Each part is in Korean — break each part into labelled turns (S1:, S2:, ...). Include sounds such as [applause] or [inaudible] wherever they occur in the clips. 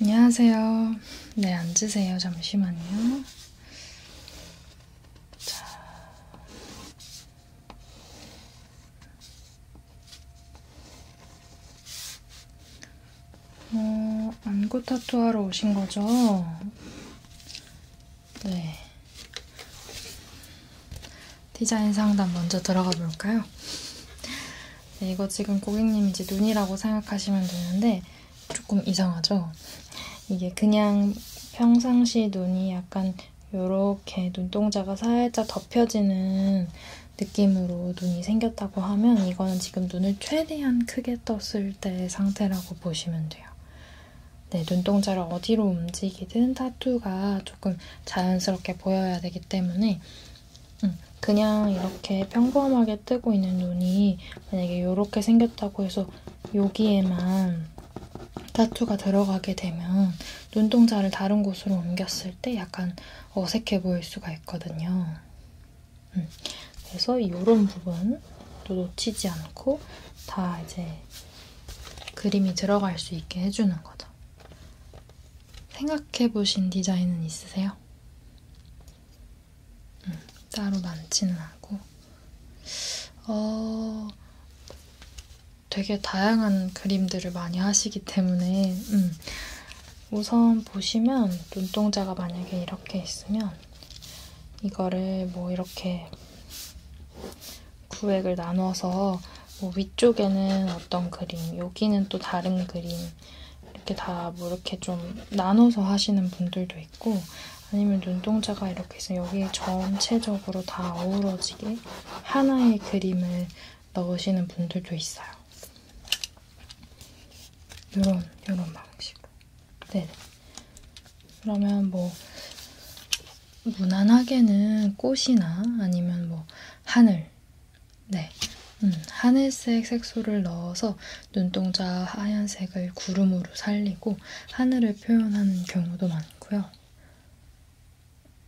S1: 안녕하세요. 네, 앉으세요. 잠시만요. 자. 어, 안구 타투하러 오신 거죠? 네. 디자인 상담 먼저 들어가 볼까요? 네, 이거 지금 고객님 이제 눈이라고 생각하시면 되는데 조금 이상하죠? 이게 그냥 평상시 눈이 약간 요렇게 눈동자가 살짝 덮여지는 느낌으로 눈이 생겼다고 하면 이거는 지금 눈을 최대한 크게 떴을 때의 상태라고 보시면 돼요. 네, 눈동자를 어디로 움직이든 타투가 조금 자연스럽게 보여야 되기 때문에 음, 그냥 이렇게 평범하게 뜨고 있는 눈이 만약에 이렇게 생겼다고 해서 여기에만 타투가 들어가게 되면 눈동자를 다른 곳으로 옮겼을 때 약간 어색해 보일 수가 있거든요. 음. 그래서 이런 부분 또 놓치지 않고 다 이제 그림이 들어갈 수 있게 해주는 거죠. 생각해보신 디자인은 있으세요? 음, 따로 많지는 않고 어, 되게 다양한 그림들을 많이 하시기 때문에 음, 우선 보시면 눈동자가 만약에 이렇게 있으면 이거를 뭐 이렇게 구획을 나눠서 뭐 위쪽에는 어떤 그림, 여기는 또 다른 그림 이렇게 다 뭐 이렇게 좀 나눠서 하시는 분들도 있고 아니면 눈동자가 이렇게 있으면 여기에 전체적으로 다 어우러지게 하나의 그림을 넣으시는 분들도 있어요. 요런, 요런 방식으로. 네네. 그러면 뭐, 무난하게는 꽃이나 아니면 뭐, 하늘. 네. 음, 하늘색 색소를 넣어서 눈동자 하얀색을 구름으로 살리고 하늘을 표현하는 경우도 많고요.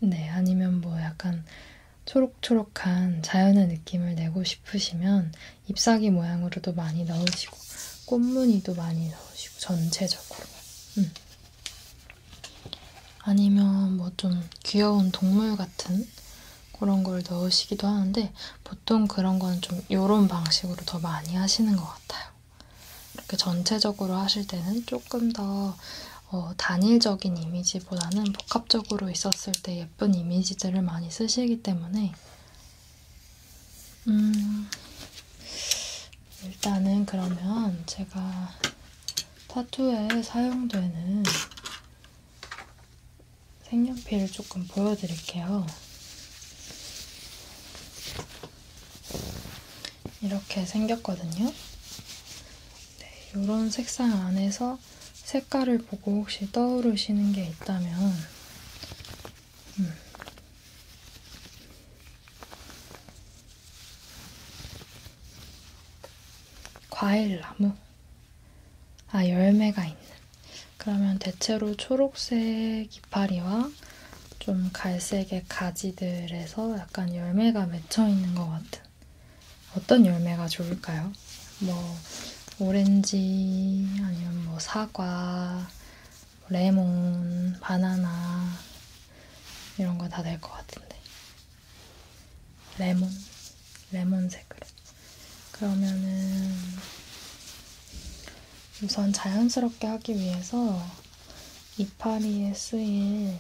S1: 네, 아니면 뭐 약간 초록초록한 자연의 느낌을 내고 싶으시면 잎사귀 모양으로도 많이 넣으시고 꽃무늬도 많이 넣으시고 전체적으로 음. 아니면 뭐 좀 귀여운 동물 같은 그런 걸 넣으시기도 하는데 보통 그런 건 좀 요런 방식으로 더 많이 하시는 것 같아요. 이렇게 전체적으로 하실 때는 조금 더 어, 단일적인 이미지보다는 복합적으로 있었을 때의 예쁜 이미지들을 많이 쓰시기 때문에 음, 일단은 그러면 제가 타투에 사용되는 색연필을 조금 보여드릴게요. 이렇게 생겼거든요. 네, 이런 색상 안에서 색깔을 보고 혹시 떠오르시는 게 있다면 음. 과일나무 아 열매가 있는 그러면 대체로 초록색 이파리와 좀 갈색의 가지들에서 약간 열매가 맺혀 있는 것 같은 어떤 열매가 좋을까요? 뭐 오렌지 아니면 뭐 사과, 뭐 레몬, 바나나 이런 거 다 될 것 같은데 레몬, 레몬색으로 그러면은 우선 자연스럽게 하기 위해서 이파리에 쓰일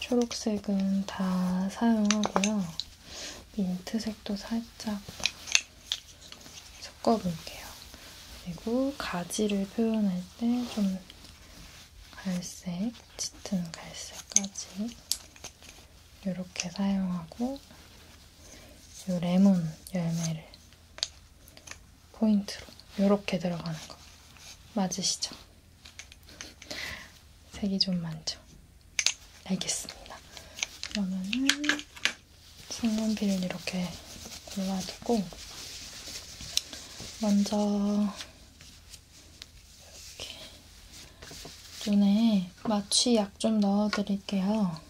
S1: 초록색은 다 사용하고요. 민트색도 살짝 섞어볼게요. 그리고 가지를 표현할 때 좀 갈색, 짙은 갈색까지 이렇게 사용하고 이 레몬 열매를 포인트로 이렇게 들어가는 거 맞으시죠? 색이 좀 많죠? 알겠습니다. 그러면은 색연필을 이렇게 골라주고 먼저 이렇게 눈에 마취약 좀 넣어드릴게요.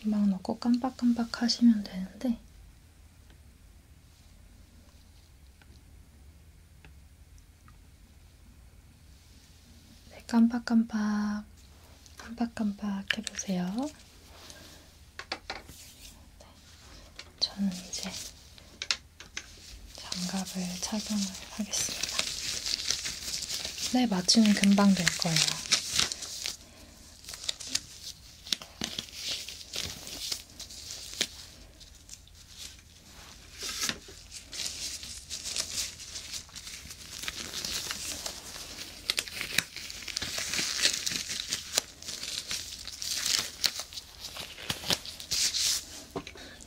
S1: 금방 넣고 깜빡깜빡 하시면 되는데 네, 깜빡깜빡 깜빡깜빡 해보세요. 네, 저는 이제 장갑을 착용을 하겠습니다. 네, 맞추는 금방 될 거예요.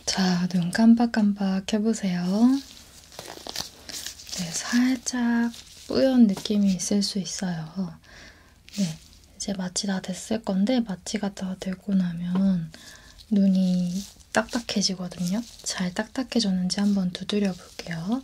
S1: 자, 눈 깜박깜박 해보세요. 네, 살짝 뿌연 느낌이 있을 수 있어요. 네, 이제 마취 다 됐을 건데, 마취가 다 되고 나면 눈이 딱딱해지거든요. 잘 딱딱해졌는지 한번 두드려 볼게요.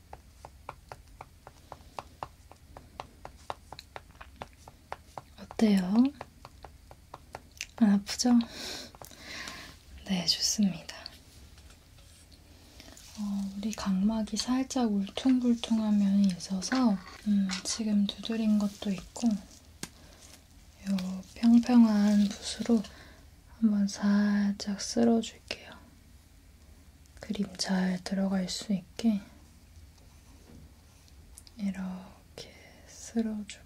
S1: 어때요? 안 아프죠? 네, 좋습니다. 어, 우리 각막이 살짝 울퉁불퉁한 면이 있어서 음, 지금 두드린 것도 있고 요 평평한 붓으로 한번 살짝 쓸어줄게요. 그림 잘 들어갈 수 있게 이렇게 쓸어주고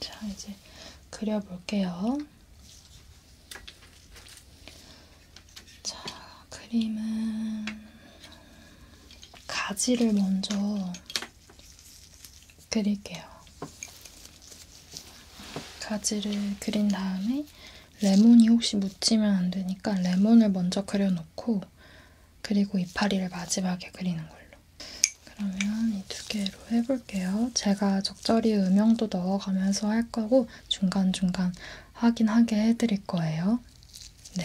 S1: 자, 이제 그려볼게요. 자, 그림은 가지를 먼저 그릴게요. 가지를 그린 다음에 레몬이 혹시 묻히면 안 되니까 레몬을 먼저 그려놓고 그리고 이파리를 마지막에 그리는 걸로. 그러면 이 두 개로 해볼게요. 제가 적절히 음영도 넣어가면서 할 거고 중간중간 확인하게 해드릴 거예요. 네.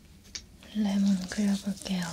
S1: 레몬 그려볼게요.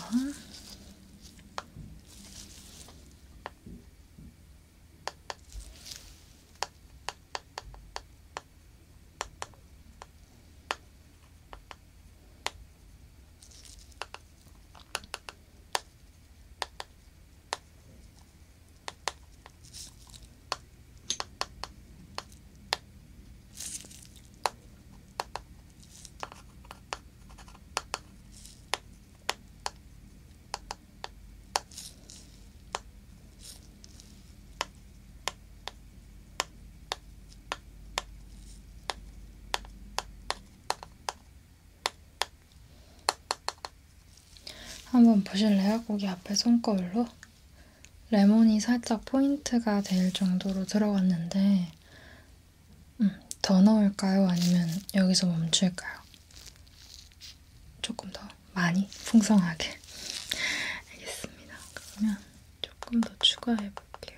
S1: 한번 보실래요? 고기 앞에 손거울로? 레몬이 살짝 포인트가 될 정도로 들어갔는데 음, 더 넣을까요? 아니면 여기서 멈출까요? 조금 더 많이 풍성하게 [laughs] 알겠습니다. 그러면 조금 더 추가해 볼게요.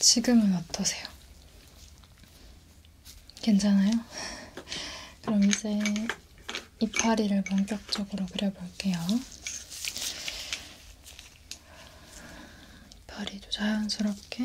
S1: 지금은 어떠세요? 괜찮아요? [laughs] 그럼 이제 이파리를 본격적으로 그려볼게요. 이파리도 자연스럽게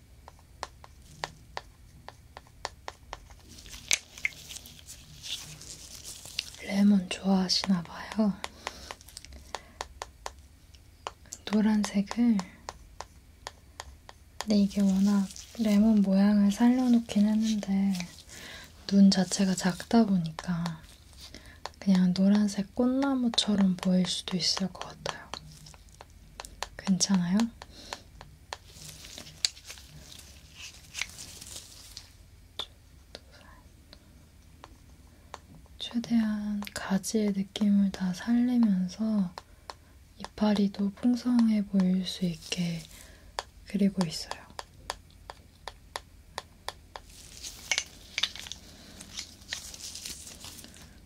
S1: 레몬 좋아하시나 봐요. 노란색을 근데 이게 워낙 레몬 모양을 살려놓긴 했는데 눈 자체가 작다 보니까 그냥 노란색 꽃나무처럼 보일 수도 있을 것 같아요. 괜찮아요? 최대한 가지의 느낌을 다 살리면서 이파리도 풍성해 보일 수 있게 그리고 있어요.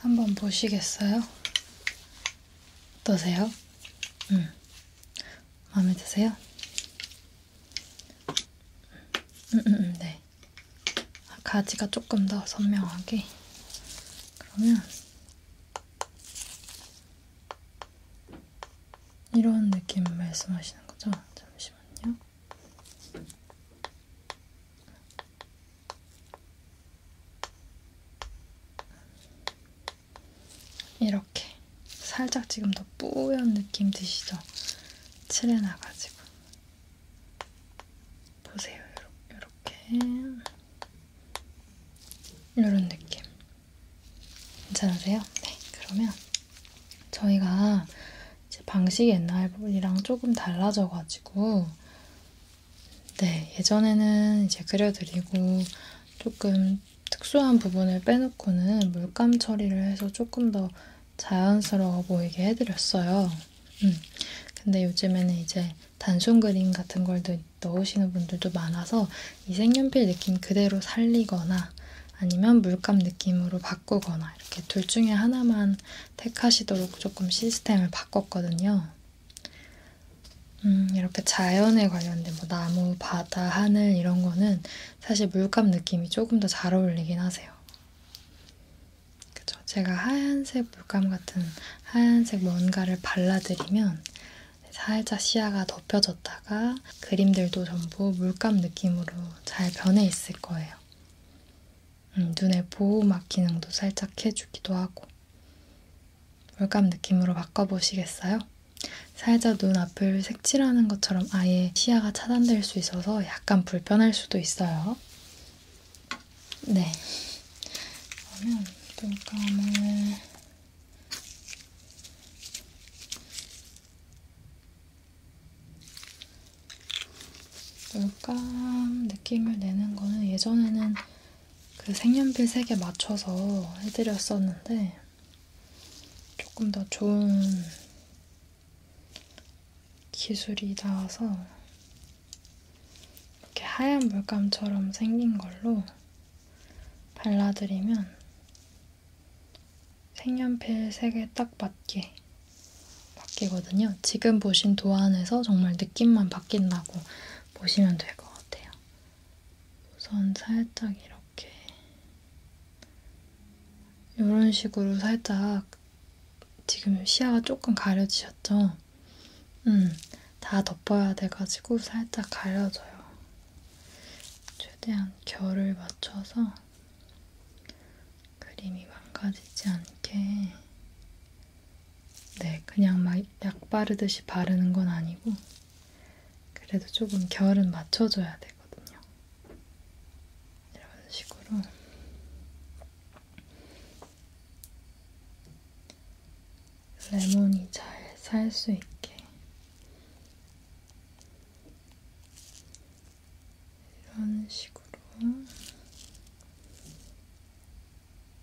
S1: 한번 보시겠어요? 어떠세요? 음. 마음에 드세요? 음, 음, 음, 네. 가지가 조금 더 선명하게. 그러면 이런 느낌 말씀하시는 거죠? 잠시만요. 이렇게 살짝 지금 더 뿌연 느낌 드시죠? 칠해놔가지고 보세요. 이렇게 이런 느낌 괜찮으세요? 네, 그러면 저희가 이제 방식이 옛날이랑 조금 달라져가지고 네, 예전에는 이제 그려드리고 조금 특수한 부분을 빼놓고는 물감 처리를 해서 조금 더 자연스러워 보이게 해드렸어요. 음, 근데 요즘에는 이제 단순 그림 같은 걸 넣으시는 분들도 많아서 이 색연필 느낌 그대로 살리거나 아니면 물감 느낌으로 바꾸거나 이렇게 둘 중에 하나만 택하시도록 조금 시스템을 바꿨거든요. 음, 이렇게 자연에 관련된 뭐 나무, 바다, 하늘 이런 거는 사실 물감 느낌이 조금 더 잘 어울리긴 하세요. 그죠? 제가 하얀색 물감 같은 하얀색 뭔가를 발라드리면 살짝 시야가 덮여졌다가 그림들도 전부 물감 느낌으로 잘 변해 있을 거예요. 음, 눈에 보호막 기능도 살짝 해주기도 하고 물감 느낌으로 바꿔보시겠어요? 살짝 눈 앞을 색칠하는 것처럼 아예 시야가 차단될 수 있어서 약간 불편할 수도 있어요. 네. 그러면 눈감을 물감 느낌을 내는 거는 예전에는 그 색연필 색에 맞춰서 해드렸었는데 조금 더 좋은 기술이 나와서 이렇게 하얀 물감처럼 생긴 걸로 발라드리면 색연필 색에 딱 맞게 바뀌거든요. 지금 보신 도안에서 정말 느낌만 바뀐다고 보시면 될 것 같아요. 우선 살짝 이렇게 이런 식으로 살짝 지금 시야가 조금 가려지셨죠? 음, 다 덮어야 돼가지고 살짝 가려져요. 최대한 결을 맞춰서 그림이 망가지지 않게 네, 그냥 막 약 바르듯이 바르는 건 아니고, 그래도 조금 결은 맞춰줘야 되거든요. 이런 식으로. 레몬이 잘 살 수 있게. 이런 식으로.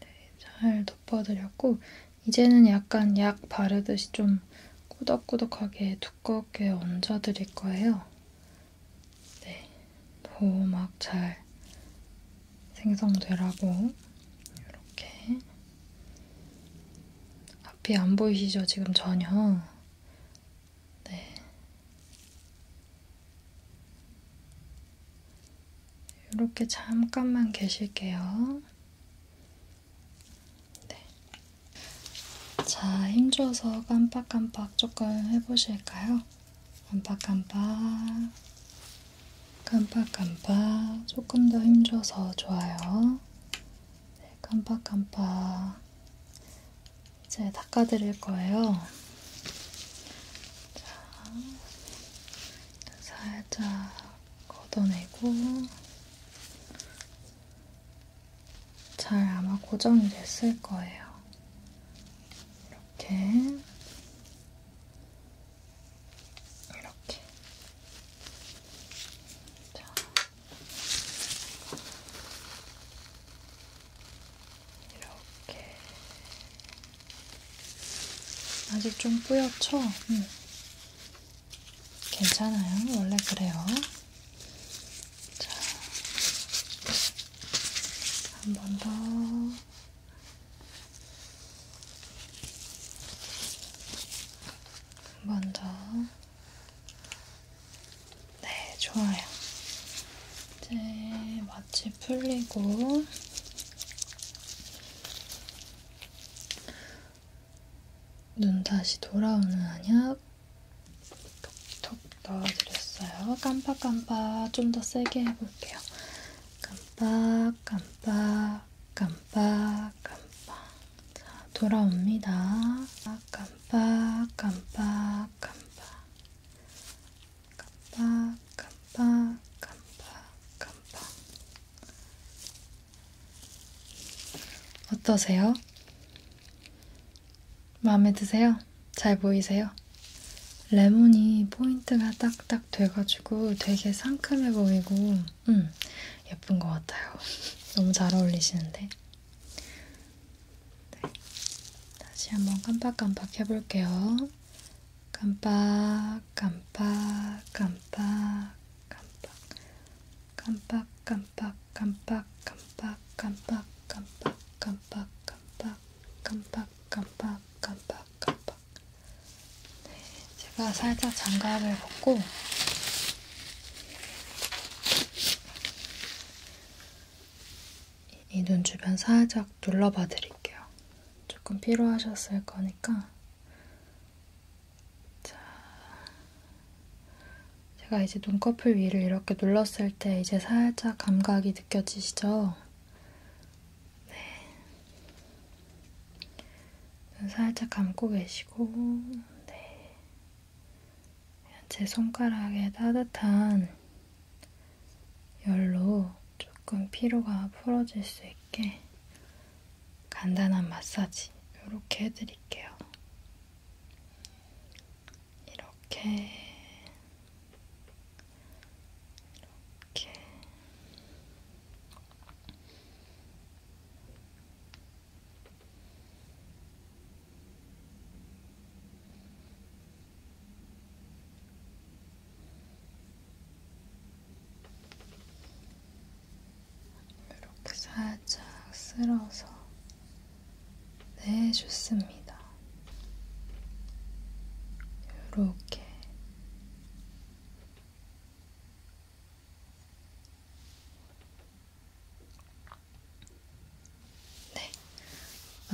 S1: 네, 잘 덮어드렸고 이제는 약간 약 바르듯이 좀 꾸덕꾸덕하게 두껍게 얹어드릴 거예요. 네, 도막 잘 생성되라고 이렇게 앞이 안 보이시죠? 지금 전혀. 네, 이렇게 잠깐만 계실게요. 네. 자, 힘줘서 깜빡깜빡 조금 해보실까요? 깜빡깜빡, 깜빡깜빡, 조금 더 힘줘서 좋아요. 네, 깜빡깜빡. 이제 닦아드릴 거예요. 자, 살짝 걷어내고, 잘 아마 고정이 됐을 거예요. 이렇게. 이렇게. 자. 이렇게. 아직 좀 뿌옇죠? 응. 괜찮아요. 원래 그래요. 자, 한 번 더. 한 번 더. 네, 좋아요. 이제 마취 풀리고, 눈 다시 돌아오는 안약 톡톡 넣어드렸어요. 깜빡깜빡 좀 더 세게 해볼게요. 깜빡깜빡 깜빡깜빡 자, 돌아옵니다. 깜빡깜빡깜빡 깜빡깜빡깜빡깜빡 깜빡, 깜빡, 깜빡, 어떠세요? 마음에 드세요? 잘 보이세요? 레몬이 포인트가 딱딱 돼가지고 되게 상큼해 보이고 음, 예쁜 것 같아요. [laughs] 너무 잘 어울리시는데? 네. 다시 한번 깜빡깜빡 해볼게요. 깜빡 깜빡 깜빡 깜빡 깜빡 깜빡 깜빡 깜빡 깜빡 깜빡 깜빡 깜빡 깜빡 깜빡 깜빡 깜빡 제가 살짝 장갑을 벗고 이 눈 주변 살짝 눌러봐 드릴게요. 조금 피로하셨을 거니까 자, 제가 이제 눈꺼풀 위를 이렇게 눌렀을 때 이제 살짝 감각이 느껴지시죠? 네. 눈 살짝 감고 계시고, 네. 제 손가락에 따뜻한 열로 조금 피로가 풀어질 수 있게 간단한 마사지 이렇게 해드릴게요. 이렇게 이렇게 이렇게 이렇게 살짝 쓸어서 네, 좋습니다. 이렇게 네,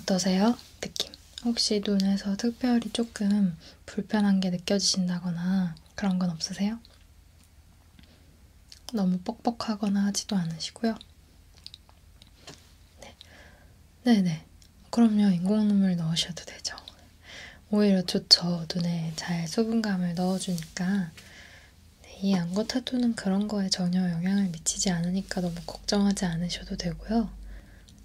S1: 어떠세요? 느낌? 혹시 눈에서 특별히 조금 불편한 게 느껴지신다거나 그런 건 없으세요? 너무 뻑뻑하거나 하지도 않으시고요. 네. 네네. 그럼요. 인공눈물 넣으셔도 되죠. 오히려 좋죠. 눈에 잘 수분감을 넣어주니까. 네, 이 안구 타투는 그런 거에 전혀 영향을 미치지 않으니까 너무 걱정하지 않으셔도 되고요.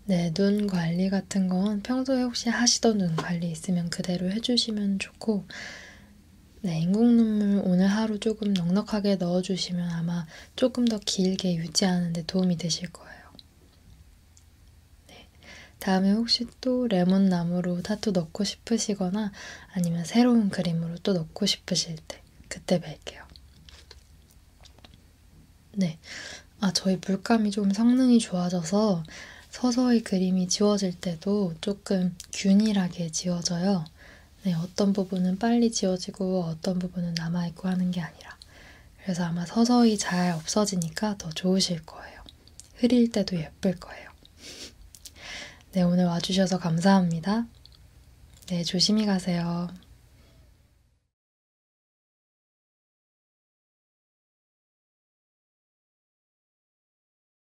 S1: 네, 눈 관리 같은 건 평소에 혹시 하시던 눈 관리 있으면 그대로 해주시면 좋고, 네, 인공눈물 오늘 하루 조금 넉넉하게 넣어주시면 아마 조금 더 길게 유지하는 데 도움이 되실 거예요. 네, 다음에 혹시 또 레몬나무로 타투 넣고 싶으시거나 아니면 새로운 그림으로 또 넣고 싶으실 때 그때 뵐게요. 네, 아 저희 물감이 좀 성능이 좋아져서 서서히 그림이 지워질 때도 조금 균일하게 지워져요. 네, 어떤 부분은 빨리 지워지고 어떤 부분은 남아있고 하는 게 아니라. 그래서 아마 서서히 잘 없어지니까 더 좋으실 거예요. 흐릴 때도 예쁠 거예요. 네, 오늘 와주셔서 감사합니다. 네, 조심히 가세요.